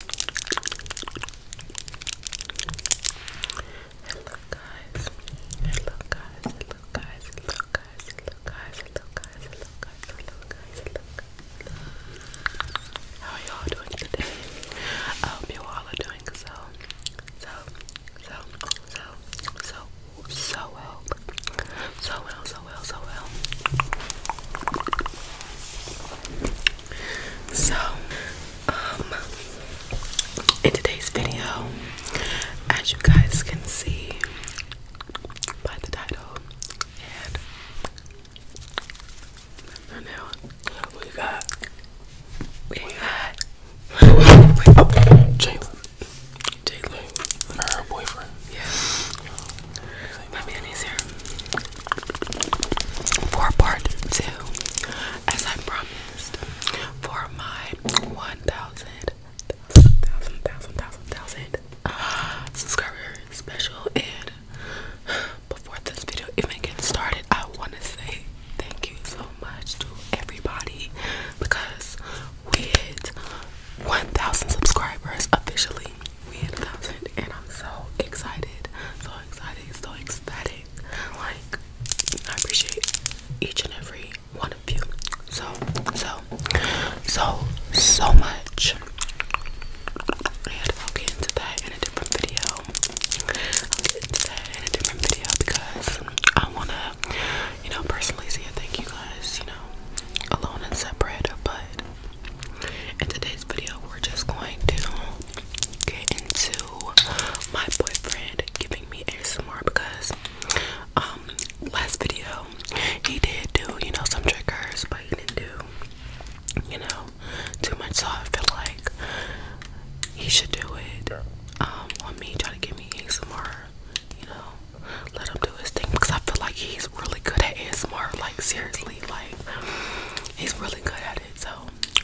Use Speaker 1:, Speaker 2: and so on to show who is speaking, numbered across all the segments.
Speaker 1: Hello guys. Hello guys. Hello guys. Hello guys. Hello guys. Hello guys. Hello guys. Hello guys. How are y'all doing today? I hope you all doing so, so, so, so, so, so well. So well, so well, so well. So, um, in today's video, as you guys can see by the title and I know what we got. We got oh, Jalen. Jalen. Her boyfriend. Definitely my mayonnaise here. For part two, as I promised, for my 1,000, 1,000, 1,000, 1,000 uh, subscriber special. And before this video even gets started, I want to say thank you so much to everybody because we hit 1,000 subscribers officially we had a thousand and I'm so excited, so excited, so ecstatic. Like I appreciate each and every one of you so so so so much. And I'll get into that in a different video. I'll get into that in a different video because I wanna, you know, personally say it. Thank you guys, you know, alone and separate, but in today's video, we're just going to get into my boyfriend giving me ASMR because um, last video he did do, you know, some triggers, but he didn't do, you know, too much. So I feel like he should do it on um, me, try to give me ASMR, you know, let him do his thing because I feel like he's really good at ASMR. Like seriously, like he's really good at it. So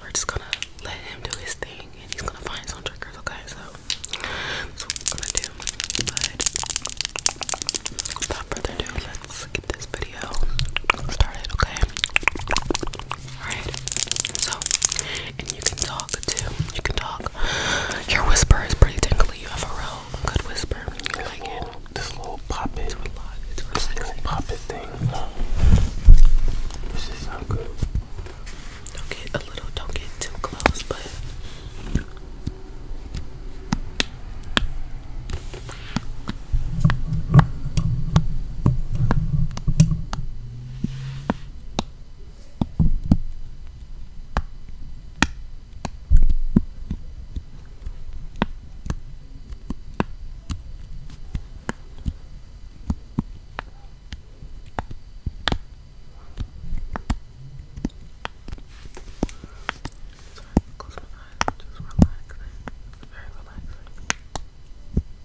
Speaker 1: we're just gonna let him do his thing, and he's gonna find some triggers. Okay, so that's what we're gonna do. But without further ado, let's get this video started. Okay. All right. So, and you can talk too. You can talk. Your whisper is pretty tingly. You have a real Good whisper. This little poppet. thing. This is not good. Don't get a little. Don't get too close, but. Sorry, close my eyes, just relaxing. It's very relaxing. Just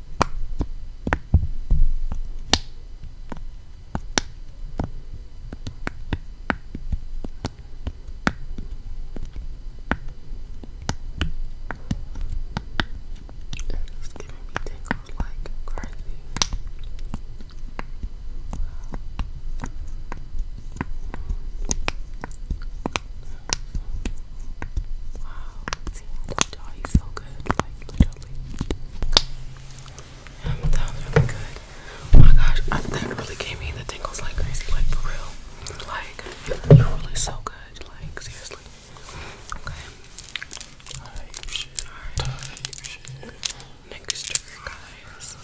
Speaker 1: It's giving me tingles like crazy. Wow, see, I told you so good. Like, totally. Oh um, that was really good. my gosh, that really gave me the tingles like crazy, like for real. Like, you're really so good. Like, seriously. Okay. Type shit. All right. Type shit. Next trigger, guys.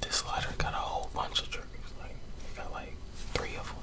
Speaker 1: This letter got a whole bunch of triggers. Like, it got like three of them.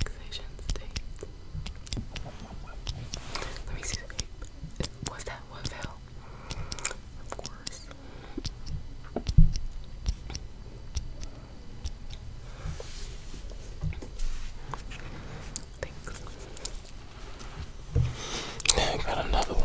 Speaker 1: Relaxation state. Let me see. Was that was hell. Of course. Thanks. got another one.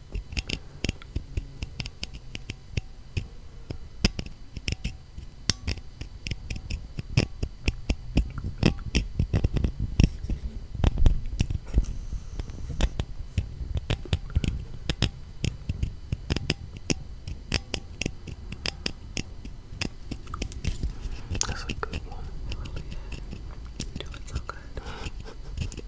Speaker 1: That's a good one. Really is. good.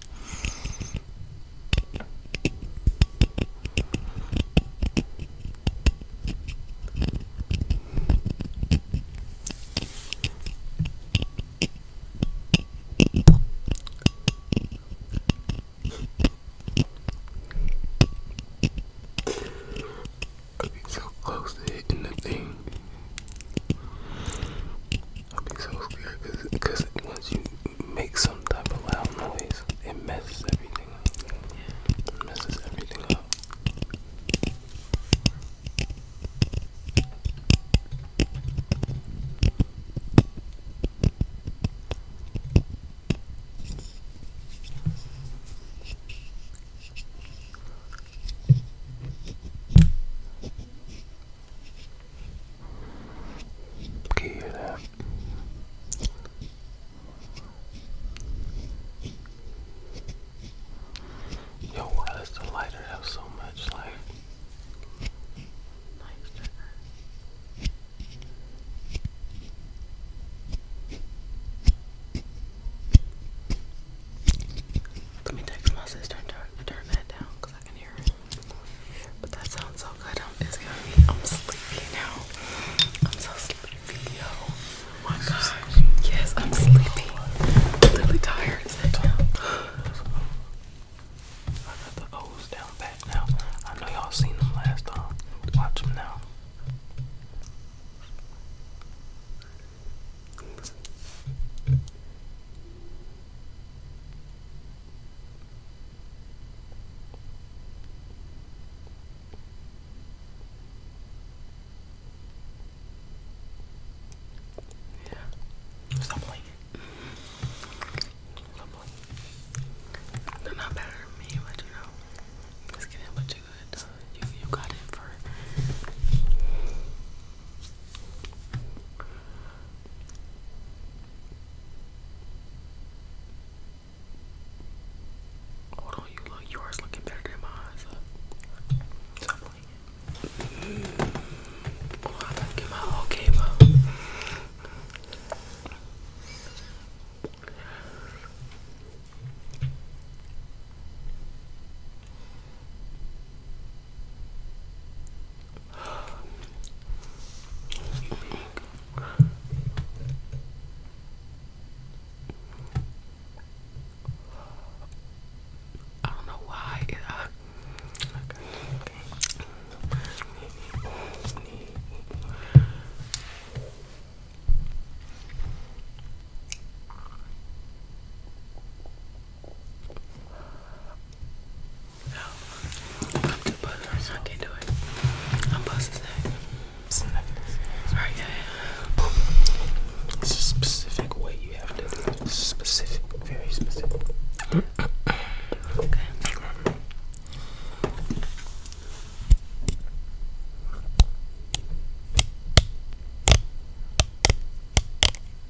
Speaker 1: I'll be so close to hitting the thing. I'll so scared because once you make some type of loud noise, it messes everything up. It messes everything up. Can you Yo, why does the lighter have so much like let me text my sister turn, that down because I can hear it. But that sounds so good. I'm sleepy now. I'm so sleepy, Oh my gosh. Yes, I'm sleepy. literally tired. I got the O's down back now. I know y'all seen them last time. Watch them now. Stop playing. Stop playing. They're not better than me, but you know, it's getting much good. You you got it for. Hold on, you look yours looking better than mine. So. Stop playing. to get my whole game up. I don't know why. Uh, no, I'm too buzzed. I can't do it. I'm buzzed today. Sorry, yeah, yeah. It's a specific way you have to Specific, very specific. okay.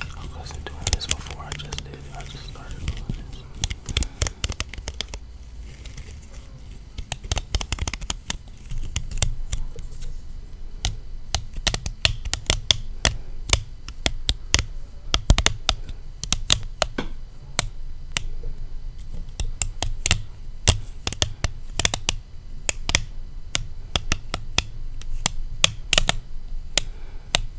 Speaker 1: I wasn't doing this before, I just did. I just started doing this.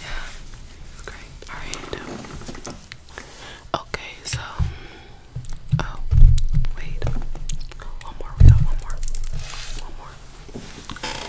Speaker 1: Yeah, it's Alright. Um, okay, so oh wait. One more, we got one more. One more.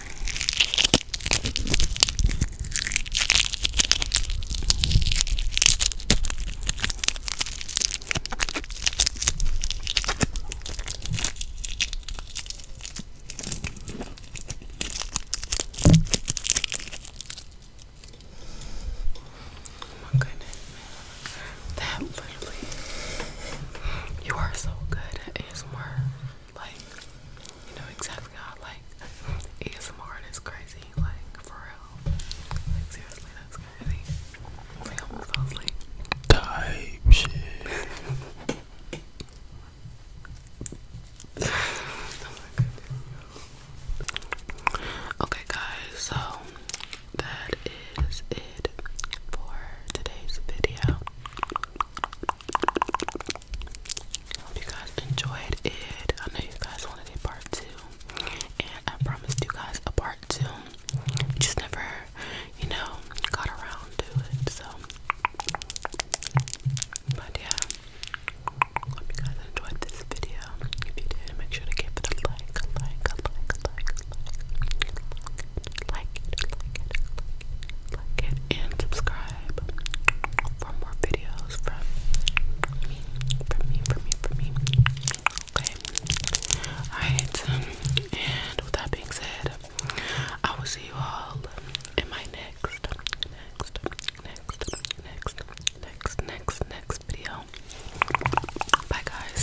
Speaker 1: Oh my goodness, That literally, you are so good at work. Like, you know exactly how like ASMR is crazy, like for real. Like seriously, that's crazy. Like almost asleep. Type shit. okay guys, so that is it for today's video. Hope you guys enjoyed it. I know you guys wanted a part two, and I promised you guys a part two. Just never, you know, got around to it. So, but yeah, hope you guys enjoyed this video. If you did, make sure to give it a like, a like, a like, a like, a like, like it, like it, like it, like it, and subscribe for more videos from me, from me, from me, from me. Okay. Alright, um, and with that being said, I will see you all in my next, next, next, next, next, next, next video. Bye, guys.